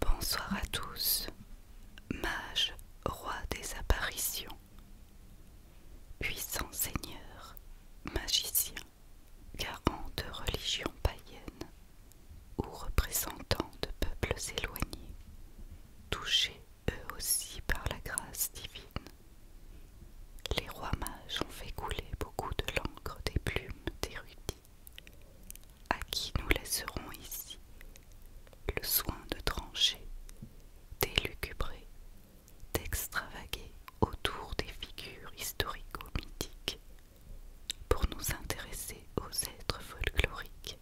Bonsoir à tous, mage, roi des apparitions, puissants seigneurs, magiciens, garants de religions païennes ou représentants de peuples éloignés, touchés eux aussi par la grâce divine. Les rois mages ont fait couler beaucoup de l'encre des plumes d'érudits, à qui nous laisserons ici le soin de trancher, d'élucubrer, d'extravaguer autour des figures historico-mythiques pour nous intéresser aux êtres folkloriques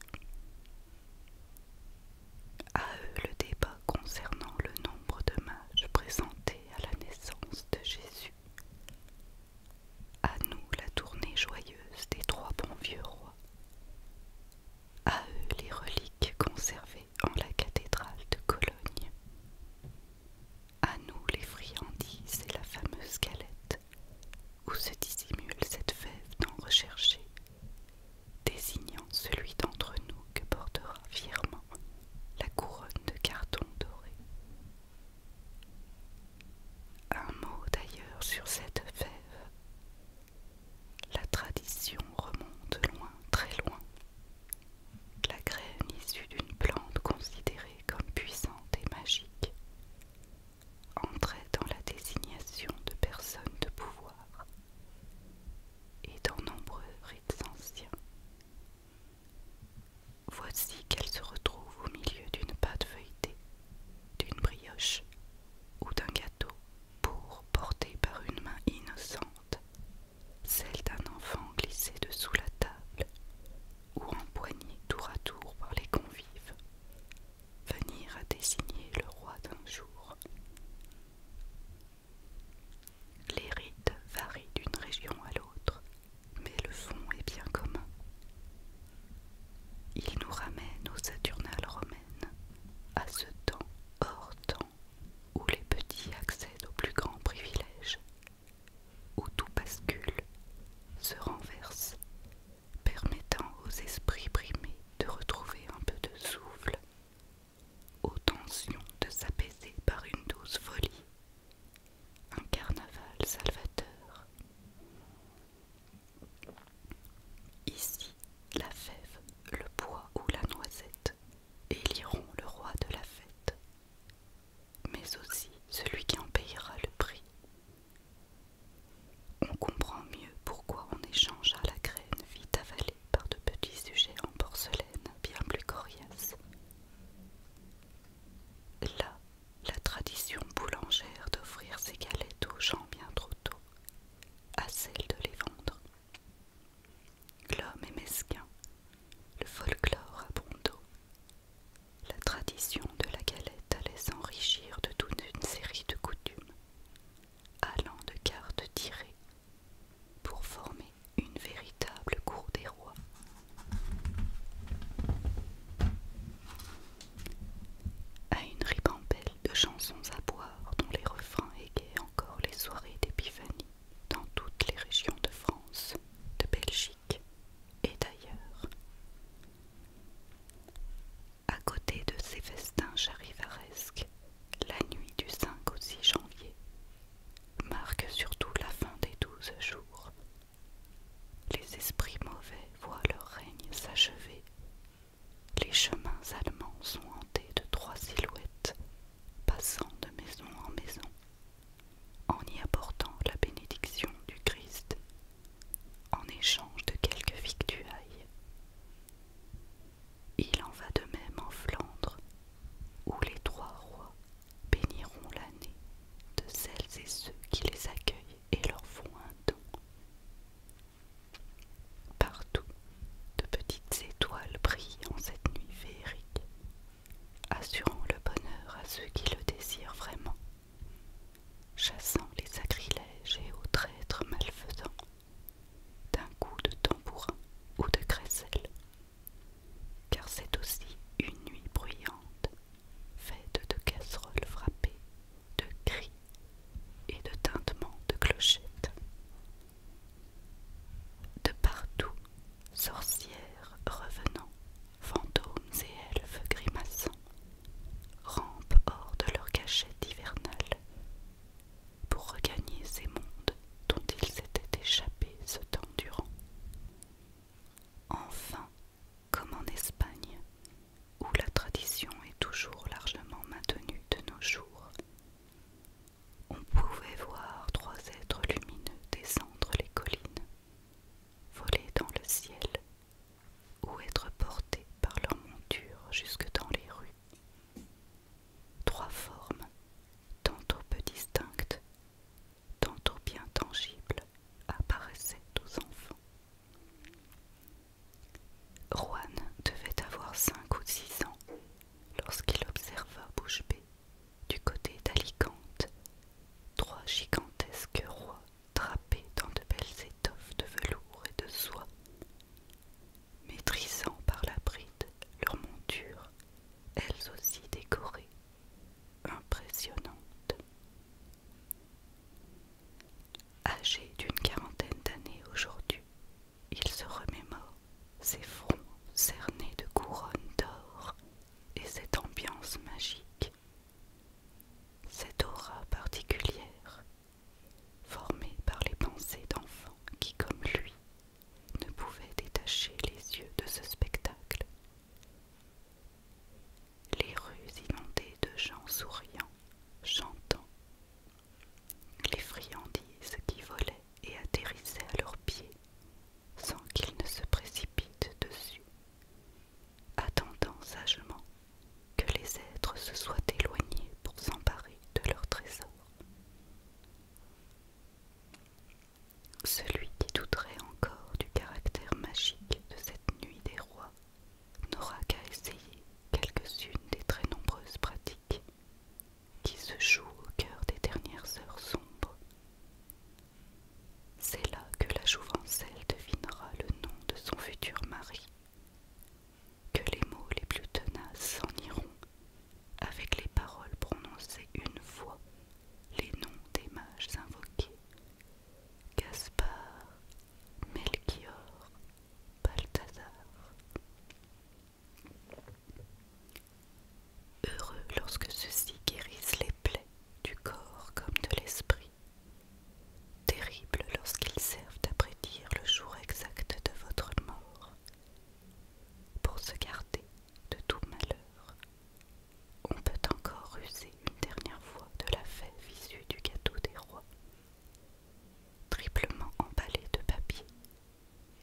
a eux le débat concernant le nombre de mages présentés à la naissance de Jésus. À nous la tournée joyeuse des trois bons vieux rois. A eux les reliques conservées en la cathédrale de Cologne. À nous les friandises et la fameuse galette où se dissimule cette fève tant recherchée désignant celui d'entre nous que portera fièrement la couronne de carton doré. Un mot d'ailleurs sur cette fève. La tradition remonte loin, très loin. La graine issue d'une plante considérée comme puissante et magique entrait dans la désignation de personnes de pouvoir et dans nombreux rites anciens. Voici qu'elle se retrouve au milieu d'une pâte feuilletée, d'une brioche ou d'un gâteau pour porter par une main innocente celle d'un enfant glissé dessous la table ou empoigné tour à tour par les convives venir à désigner le roi d'un jour. Les rites varient d'une région à l'autre, mais le fond est bien commun. Il nous ramène aux Saturnales romaines, à ce temps hors temps où les petits accèdent aux plus grands privilèges, où tout bascule, se renverse permettant aux esprits primés de retrouver un peu de souffle, aux tensions de s'apaiser par une douce folie, un carnaval salvateur. Ici, la fève, le bois ou la noisette éliront le roi de la fête, mais aussi celui qui en payera le prix on comprend mieux pourquoi on échangea la graine vite avalée par de petits sujets en porcelaine bien plus coriaces. Là, la tradition boulangère d'offrir ses galettes aux gens bien trop tôt, à celle de les vendre. L'homme est mesquin, le folklore à la tradition de la galette allait s'enrichir de toute une série de coutumes, allant de cartes tirées, pour former une véritable cour des rois. À une ribambelle de chansons à boire dont les refrains égaient encore les soirées d'épiphanie dans toutes les régions de France de Belgique et d'ailleurs. À côté de ces festins charivaresques, la nuit du 5 au 6 janvier marque surtout la fin des douze jours. Les esprits mauvais voient leur règne s'achever. Les chemins allemands sont hantés de trois silhouettes, passant de maison en maison en y apportant la bénédiction du Christ en échange de quelques victuailles. Il en va de même en Flandre, où les trois rois béniront l'année de celles et ceux qui les accueillent et leur font un don. Partout, de petites étoiles brillent en cette nuit féerique assurant le bonheur à ceux qui le désirent vraiment, chassant les sacrilèges et aux traîtres malfaisants d'un coup de tambourin ou de crécelle, car c'est aussi une nuit bruyante, faite de casseroles frappées, de cris et de tintements de clochettes. De partout sorcières, revenant, fantômes et elfes grimaçants rampent hors de leur cachette hivernale pour regagner ces mondes dont ils s'étaient échappés ce temps durant. Enfin, comme en Espagne, où la tradition est toujours largement maintenue de nos jours, on pouvait voir trois êtres lumineux descendre les collines, voler dans le ciel ou être portés par leurs monture jusque dans les rues. Trois formes, tantôt peu distinctes, tantôt bien tangibles, apparaissaient aux enfants. Juan devait avoir cinq ou six ans lorsqu'il observa bouche du côté d'Alicante, trois gigantesques rois drapés dans de belles étoffes de velours et de soie, maîtrisant par la bride leurs montures, elles aussi décorées, impressionnantes. âgées d'une quarantaine d'années aujourd'hui, il se remémore ses fronts cernés de couronnes d'or et cette ambiance magique, cette aura particulière formée par les pensées d'enfants qui, comme lui, ne pouvaient détacher les yeux de ce spectacle. Les rues inondées de gens souriants, chantant les friandises qui volaient et atterrissaient à leurs pieds sans qu'ils ne se précipitent dessus, attendant sagement que les êtres se soient éloignés pour s'emparer de leur trésors Celui qui douterait encore du caractère magique de cette nuit des rois n'aura qu'à essayer quelques-unes des très nombreuses pratiques qui se jouent au cœur des dernières heures sombres. C'est là que la jouvencelle devinera le nom de son futur mari, que les mots les plus tenaces s'en iront avec les paroles prononcées une fois, les noms des mages invoqués Gaspard, Melchior, Balthazar. Heureux lorsque ceux-ci guérissent les plaies du corps comme de l'esprit. Terribles lorsqu'ils servent à prédire le jour exact de votre mort. Pour se garder de tout malheur, on peut encore user une dernière fois de la fête issue du gâteau des rois, triplement emballée de papier,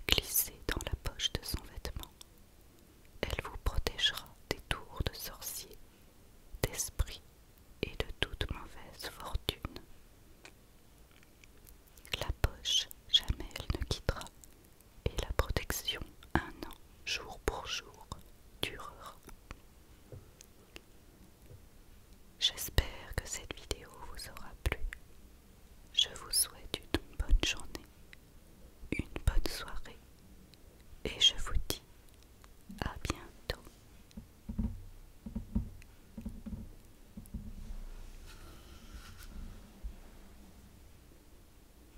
glissée dans la poche de son vêtement. Elle vous protégera des tours de sorciers, d'esprits et de toute mauvaise fortune. La poche, jamais elle ne quittera, et la protection un an, jour pour jour, J'espère que cette vidéo vous aura plu. Je vous souhaite une bonne journée, une bonne soirée et je vous dis à bientôt.